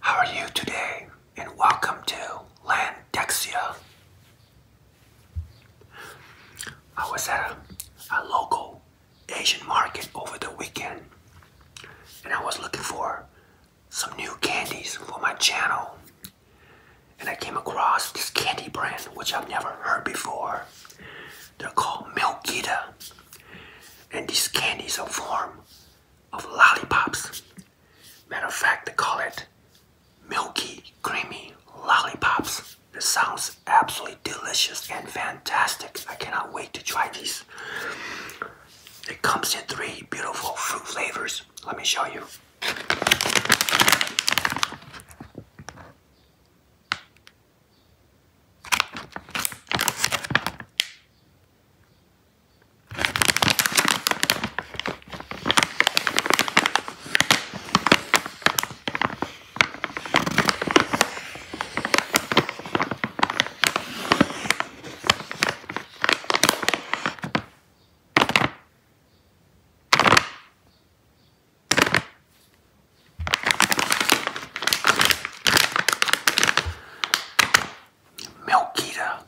How are you today? And welcome to Landexia. I was at a local Asian market over the weekend and I was looking for some new candies for my channel. And I came across this candy brand which I've never heard before. They're called Milkita, And these candies are form of lollipops. Matter of fact, they call it milky, creamy lollipops. This sounds absolutely delicious and fantastic. I cannot wait to try these. It comes in three beautiful fruit flavors. Let me show you. Milkita.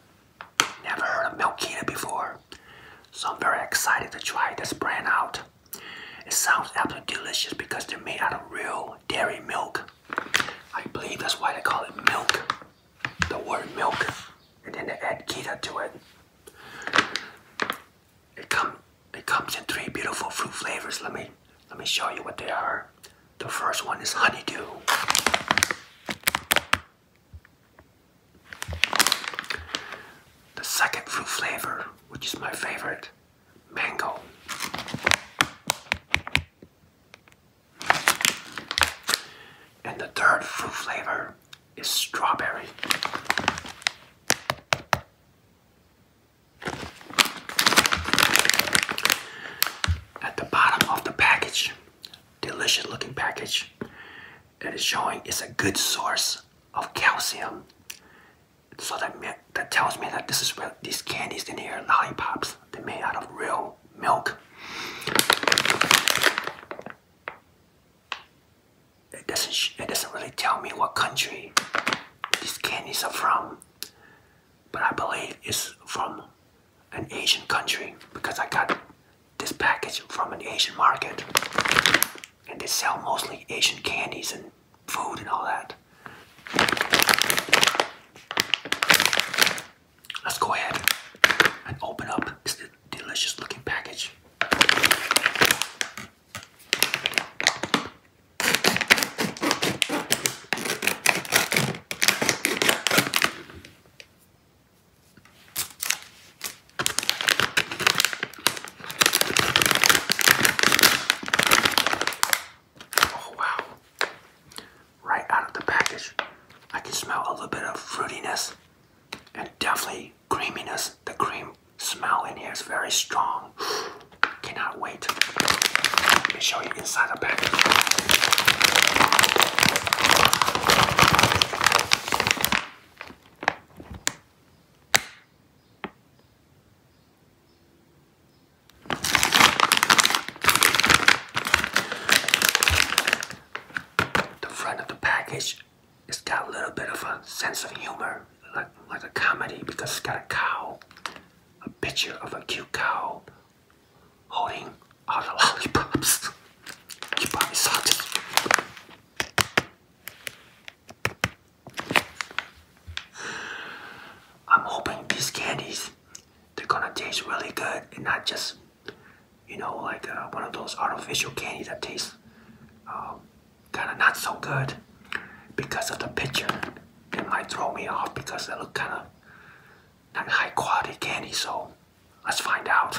Never heard of Milkita before. So I'm very excited to try this brand out. It sounds absolutely delicious because they're made out of real dairy milk. I believe that's why they call it milk the word milk and then they add keto to it. It come it comes in three beautiful fruit flavors. Let me let me show you what they are. The first one is honeydew. The second fruit flavor, which is my favorite, mango. And the third fruit flavor is strawberry. At the bottom of the package, delicious looking package, it is showing it's a good source of calcium. So that, that tells me that this is where these candies in here, lollipops, they're made out of real milk. It doesn't, it doesn't really tell me what country these candies are from, but I believe it's from an Asian country because I got this package from an Asian market and they sell mostly Asian candies and food and all that. Let's go ahead and open up this delicious looking package. Oh wow right out of the package. I can smell a little bit of fruitiness and definitely creaminess. The cream smell in here is very strong. Cannot wait. Let me show you inside the package. The front of the package, it's got a little bit of a sense of humor, like, like a comedy, because it's got a cow, a picture of a cute cow holding all the lollipops. You probably saw this. I'm hoping these candies they're gonna taste really good and not just you know like uh, one of those artificial candies that taste um, kind of not so good because of the picture it might throw me off because they look kind of not high quality candy so let's find out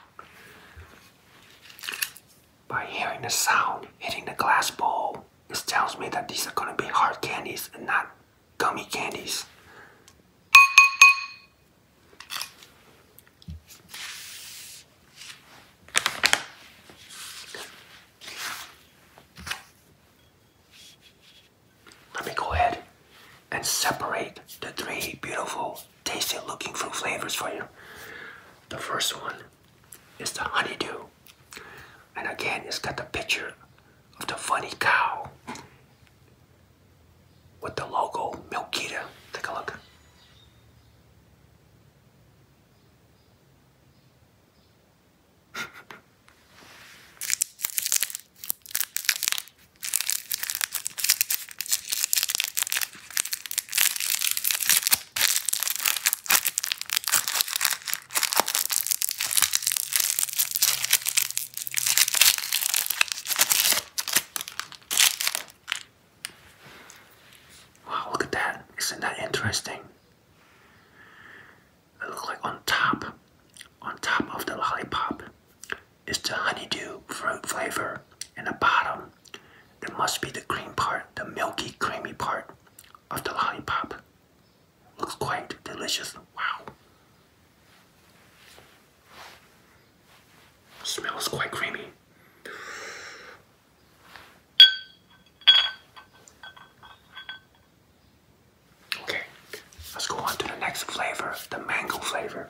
By hearing the sound hitting the glass bowl, this tells me that these are gonna be hard candies and not gummy candies. Let me go ahead and separate the three beautiful tasty looking fruit flavors for you. The first one is the honeydew. And again, it's got the picture of the funny cow with the logo Milkita. Take a look. Wow, look at that. Isn't that interesting? It looks like on top, on top of the lollipop, is the honeydew fruit flavor. And the bottom, there must be the cream part, the milky, creamy part of the lollipop. Looks quite delicious. Wow. Smells quite creamy. Okay, let's go on to the next flavor, the mango flavor.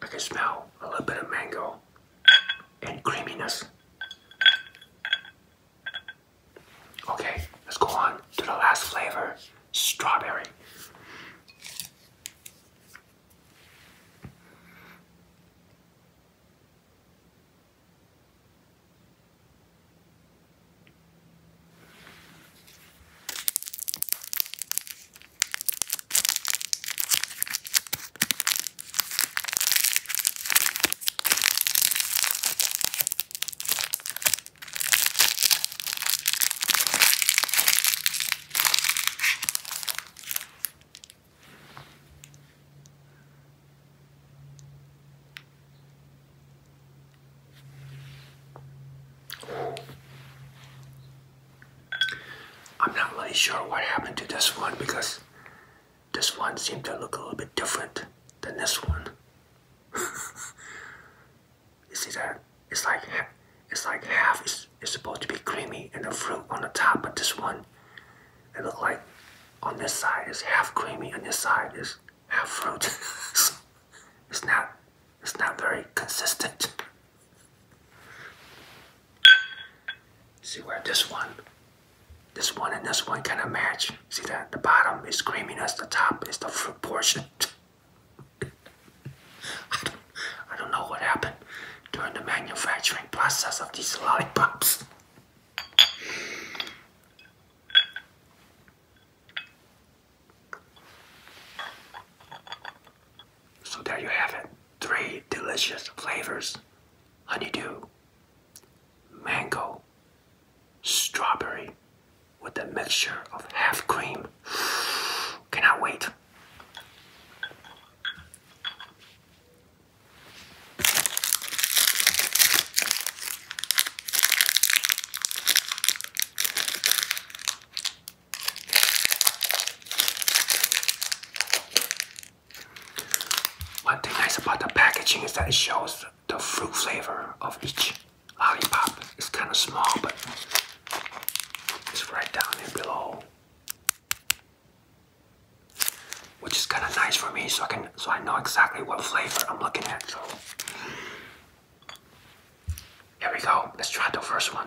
I can smell a little bit of mango and creaminess. Okay, let's go on to the last flavor strawberry. I'm not really sure what happened to this one because this one seemed to look a little bit different than this one. You see that? It's like it's like half is, supposed to be creamy and the fruit on the top, but this one, it look like on this side is half creamy and this side is half fruit. it's not it's not very consistent. See where this one, this one and this one kind of match. See that the bottom is creamy and the top is the fruit portion. I don't, know what happened during the manufacturing process of these lollipops. So there you have it. Three delicious flavors honeydew, mango, strawberry with a mixture of half cream. Cannot wait. One thing nice about the packaging is that it shows the fruit flavor of each Lollipop It's kind of small, but it's right down here below. Which is kind of nice for me, so I can so I know exactly what flavor I'm looking at. So here we go. Let's try the first one.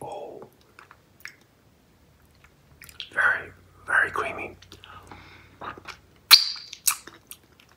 Oh, very, very creamy.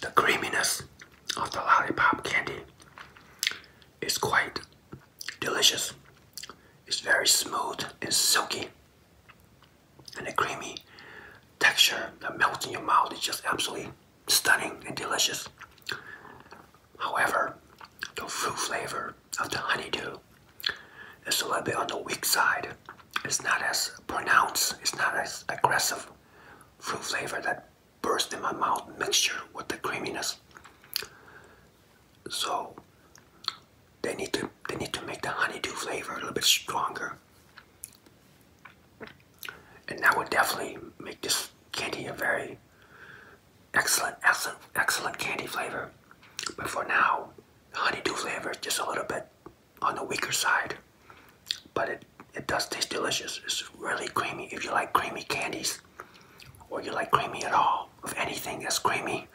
the creaminess of the lollipop candy is quite delicious. It's very smooth and silky. And the creamy texture that melts in your mouth is just absolutely stunning and delicious. However, the fruit flavor of the honeydew is a little bit on the weak side. It's not as pronounced, it's not as aggressive fruit flavor that burst in my mouth mixture with the creaminess. So they need to they need to make the honeydew flavor a little bit stronger. And that would definitely make this candy a very excellent, excellent, excellent candy flavor. But for now, honeydew flavor is just a little bit on the weaker side but it it does taste delicious. It's really creamy. If you like creamy candies, or you like creamy at all, of anything that's creamy,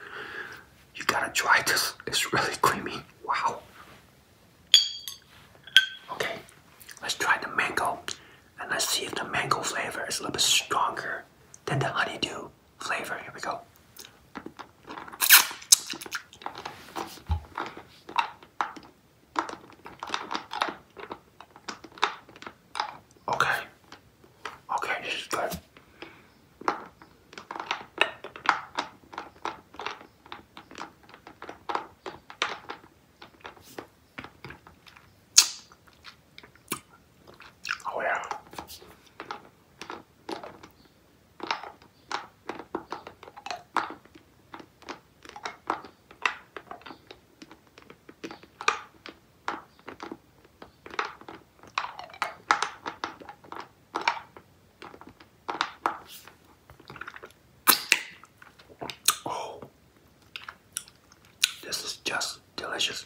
you gotta try this. It's really creamy. Wow. Okay, let's try the mango, and let's see if the mango flavor is a little bit stronger than the honeydew flavor. Here we go. Okay. Okay, this is good. Oh yeah. Oh, this is just delicious.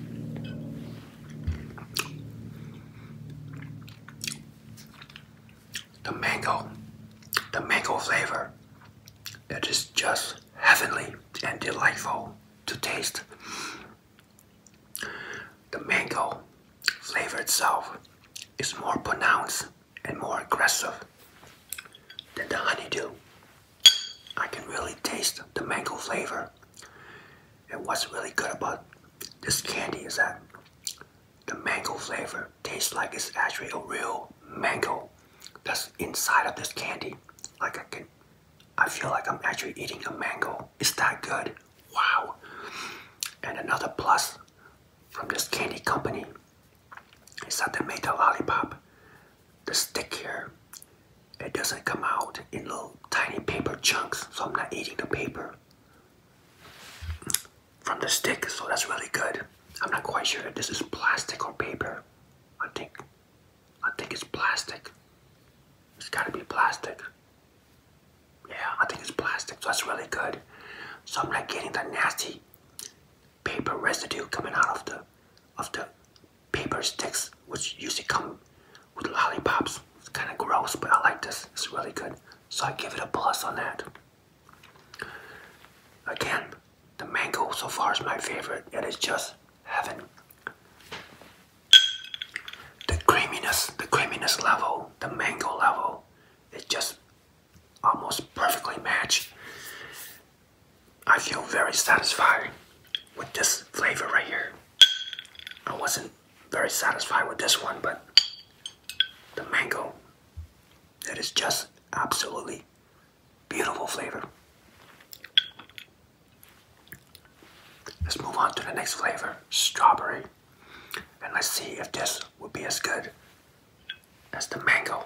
The mango, the mango flavor, that is just heavenly and delightful to taste. The mango flavor itself is more pronounced and more aggressive than the honeydew. I can really taste the mango flavor. And what's really good about this candy is that the mango flavor tastes like it's actually a real mango that's inside of this candy. Like I can, I feel like I'm actually eating a mango. It's that good. Wow. And another plus from this candy company is that they made a lollipop the stick here, it doesn't come out in little tiny paper chunks, so I'm not eating the paper from the stick, so that's really good. I'm not quite sure if this is plastic or paper. I think I think it's plastic. It's gotta be plastic. Yeah, I think it's plastic, so that's really good. So I'm not getting the nasty paper residue coming out of the of the paper sticks, which usually come with lollipops. It's kind of gross, but I like this. It's really good. So I give it a plus on that. Again, the mango so far is my favorite. It is just heaven. The creaminess, the creaminess level, the mango level, it just almost perfectly match. I feel very satisfied with this flavor right here. I wasn't very satisfied with this one, but the mango, is just absolutely beautiful flavor. Let's move on to the next flavor, strawberry. And let's see if this will be as good as the mango.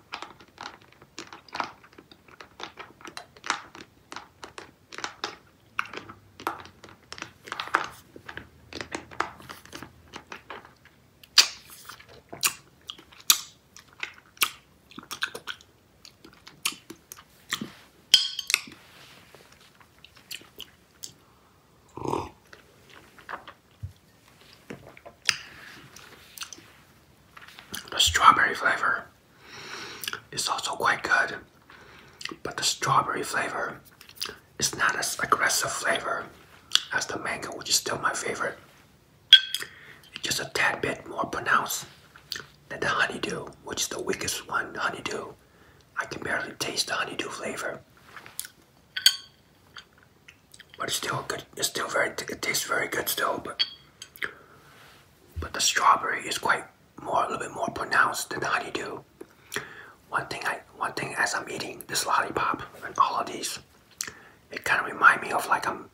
The strawberry flavor it's also quite good, but the strawberry flavor is not as aggressive flavor as the mango, which is still my favorite. It's just a tad bit more pronounced than the honeydew, which is the weakest one, honeydew. I can barely taste the honeydew flavor. But it's still good. It's still very. It tastes very good still but the strawberry is quite more, a little bit more pronounced than the honeydew. One thing I, one thing as I'm eating this lollipop and all of these, it kind of reminds me of like I'm,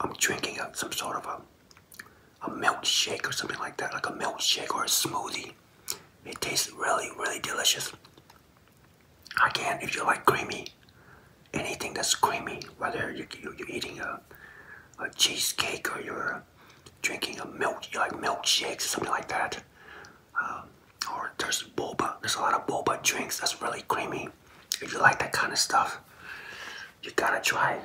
I'm drinking some sort of a, a milkshake or something like that, like a milkshake or a smoothie. It tastes really, really delicious. Again, if you like creamy anything that's creamy, whether you, are eating a, a cheesecake or you're drinking a milk, like milkshakes or something like that. Um, or there's boba, there's a lot of boba drinks that's really creamy. If you like that kind of stuff, you gotta try it.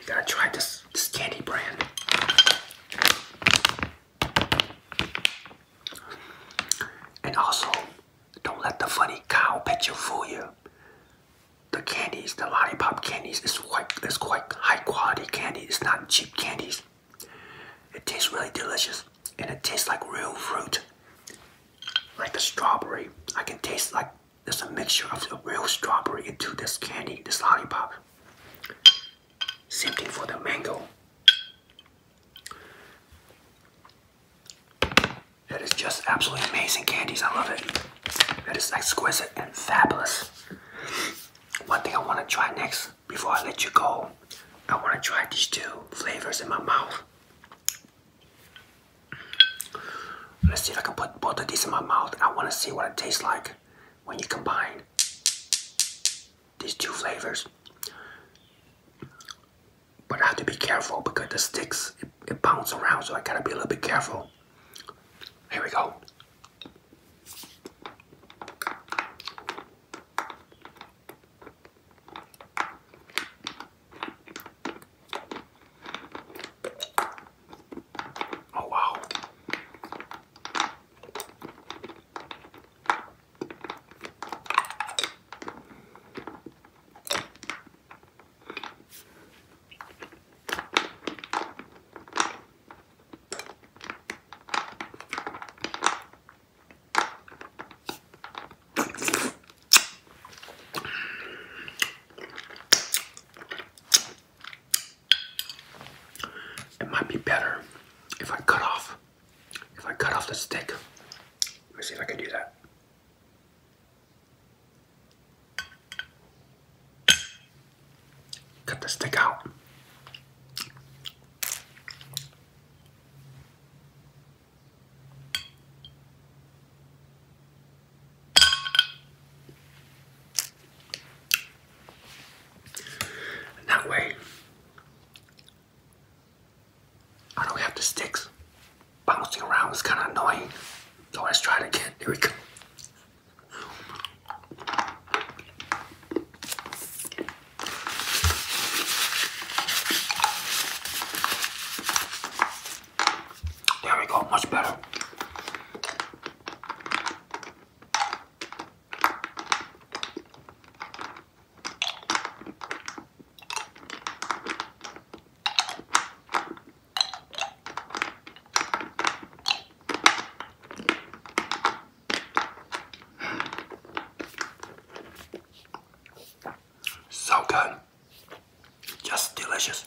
You gotta try this, this candy brand. And also, don't let the funny cow picture fool you the candies, the lollipop candies it's quite is quite high quality candy. It's not cheap candies. It tastes really delicious and it tastes like real fruit. Like the strawberry. I can taste like there's a mixture of the real strawberry into this candy, this lollipop. Same thing for the mango. That is just absolutely amazing candies. I love it. That is exquisite and fabulous. One thing I want to try next before I let you go, I want to try these two flavors in my mouth. Let's see if I can put both of these in my mouth. I want to see what it tastes like when you combine these two flavors but I have to be careful because the sticks it, bounce around, so I gotta be a little bit careful. Here we go. Oh wow. It might be better if I cut off if I cut off the stick. Let me see if I can do that. Cut the stick out. that way, I don't have the sticks bouncing around was kind of annoying. So let's try it again. Here we go. There we go, much better. So good, just delicious.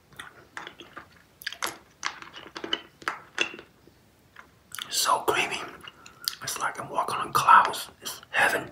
So creamy. It's like I'm walking on clouds. It's heaven.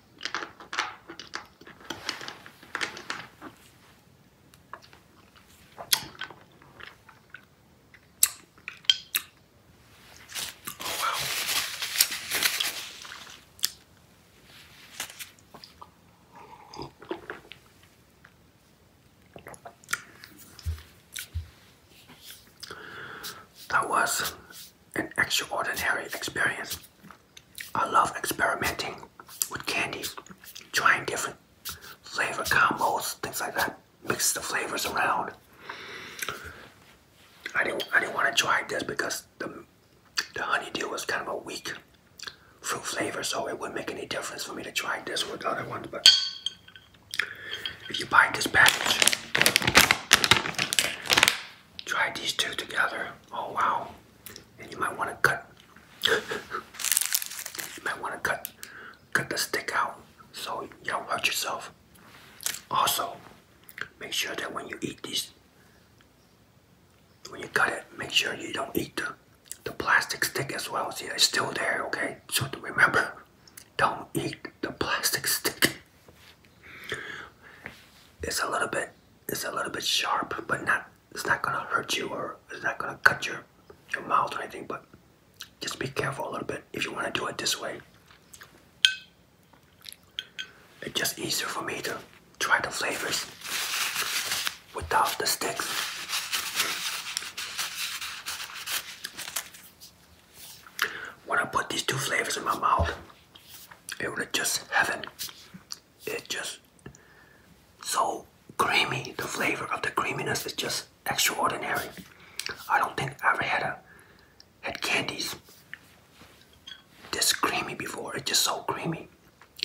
Oh, wow. That was an extraordinary experience. I love experimenting with candies, trying different flavor combos, things like that. Mix the flavors around. I didn't I didn't want to try this because the the dew was kind of a weak fruit flavor, so it wouldn't make any difference for me to try this with the other ones, but if you buy this package, Try these two together. Oh wow. And you might want to cut you might want to cut cut the stick out so you don't hurt yourself. Also, make sure that when you eat this, when you cut it, make sure you don't eat the, the plastic stick as well. See, it's still there, okay? So remember, don't eat the plastic stick. It's a little bit it's a little bit sharp, but not it's not gonna hurt you or it's not gonna cut your your mouth or anything, but just be careful a little bit if you wanna do it this way. It's just easier for me to try the flavors without the sticks. When I put these two flavors in my mouth, it was just heaven. It just so creamy. The flavor of the creaminess is just extraordinary. I don't think I ever had a had candies this creamy before. It's just so creamy.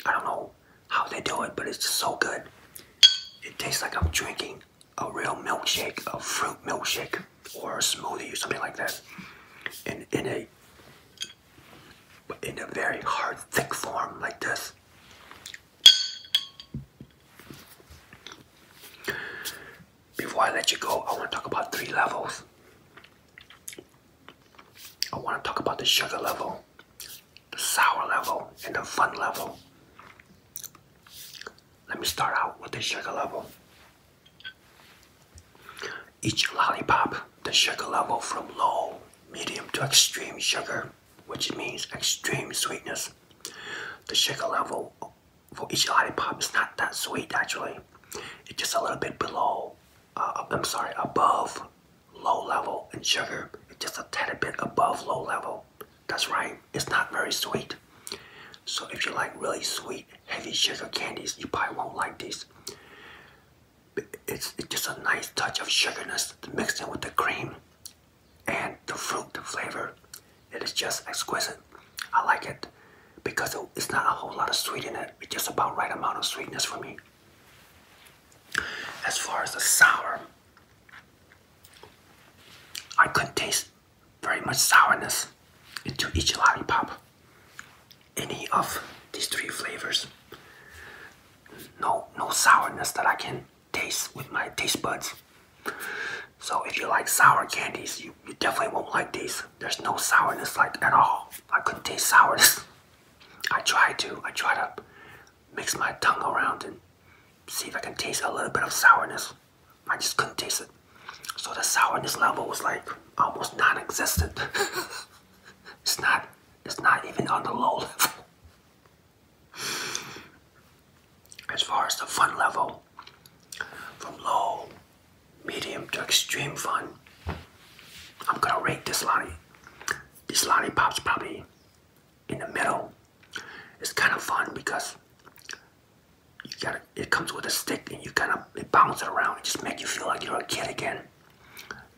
I don't know how they do it, but it's just so good. It tastes like I'm drinking a real milkshake, a fruit milkshake or a smoothie or something like that in, in a in a very hard thick form like this before I let you go I want to talk about three levels I want to talk about the sugar level the sour level and the fun level let me start out with the sugar level each lollipop, the sugar level from low, medium to extreme sugar, which means extreme sweetness. The sugar level for each lollipop is not that sweet actually. It's just a little bit below, uh, I'm sorry, above low level in sugar. It's just a tad bit above low level. That's right, it's not very sweet. So if you like really sweet, heavy sugar candies, you probably won't like these. It's, just a nice touch of sugarness mixed in with the cream and the fruit flavor. It is just exquisite. I like it because it's not a whole lot of sweet in it. It's just about right amount of sweetness for me. As far as the sour, I couldn't taste very much sourness into each lollipop any of these three flavors. No, no sourness that I can taste with my taste buds. So if you like sour candies, you, you definitely won't like these. There's no sourness like at all. I couldn't taste sourness. I tried to, I try to mix my tongue around and see if I can taste a little bit of sourness. I just couldn't taste it. So the sourness level was like almost non-existent. it's not it's not even on the low As far as the fun level, from low, medium to extreme fun, I'm gonna rate this lolly. This lollipop's probably in the middle. It's kind of fun because you gotta, it comes with a stick and you kind of it bounce it around and just make you feel like you're a kid again.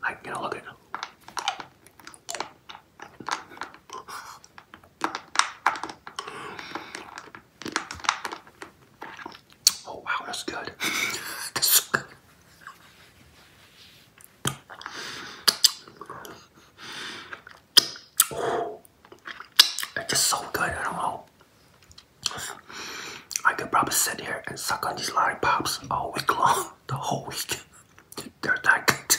Like, you know, look at Oh wow, that's good. that's so good. it's just so good. I don't know. I could probably sit here and suck on these lollipops all week long, the whole week. They're that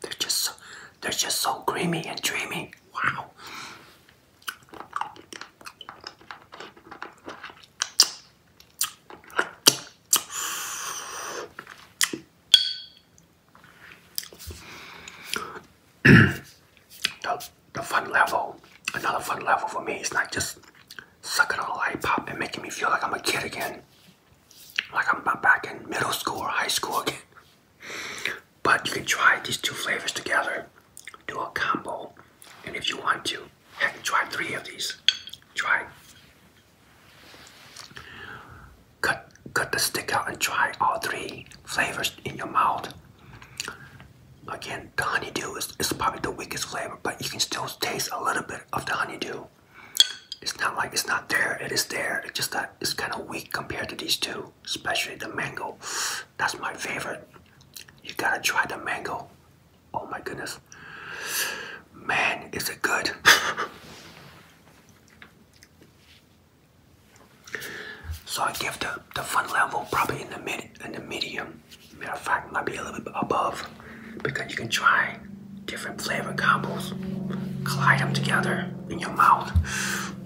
They're just so, they're just so creamy and dreamy. Wow. the fun level. Another fun level for me It's not just sucking on a lollipop and making me feel like I'm a kid again. Like I'm back in middle school or high school again. But you can try these two flavors together, do a combo, and if you want to, heck, try three of these. Try. Cut, cut the stick out and try all three flavors in your mouth. Again, the honeydew is, is probably the weakest flavor, but you can still taste a little bit of the honeydew. It's not like it's not there, it is there. It's just that it's kind of weak compared to these two, especially the mango. That's my favorite. You gotta try the mango. Oh my goodness. Man, is it good. So I give the, the fun level probably in the mid in the medium. Matter of fact, might be a little bit above because you can try different flavor combos, collide them together in your mouth,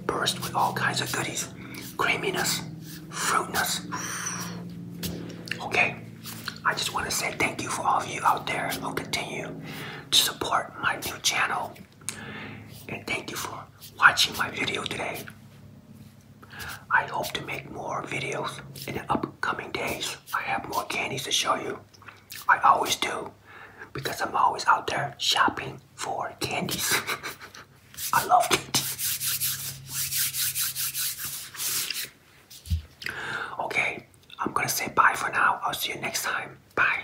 burst with all kinds of goodies, creaminess, fruitness. Okay, I just want to say thank you for all of you out there I'll continue to support my new channel, and thank you for watching my video today. I hope to make more videos in the upcoming days. I have more candies to show you. I always do because I'm always out there shopping for candies. I love candies. Okay, I'm gonna say bye for now. I'll see you next time. Bye.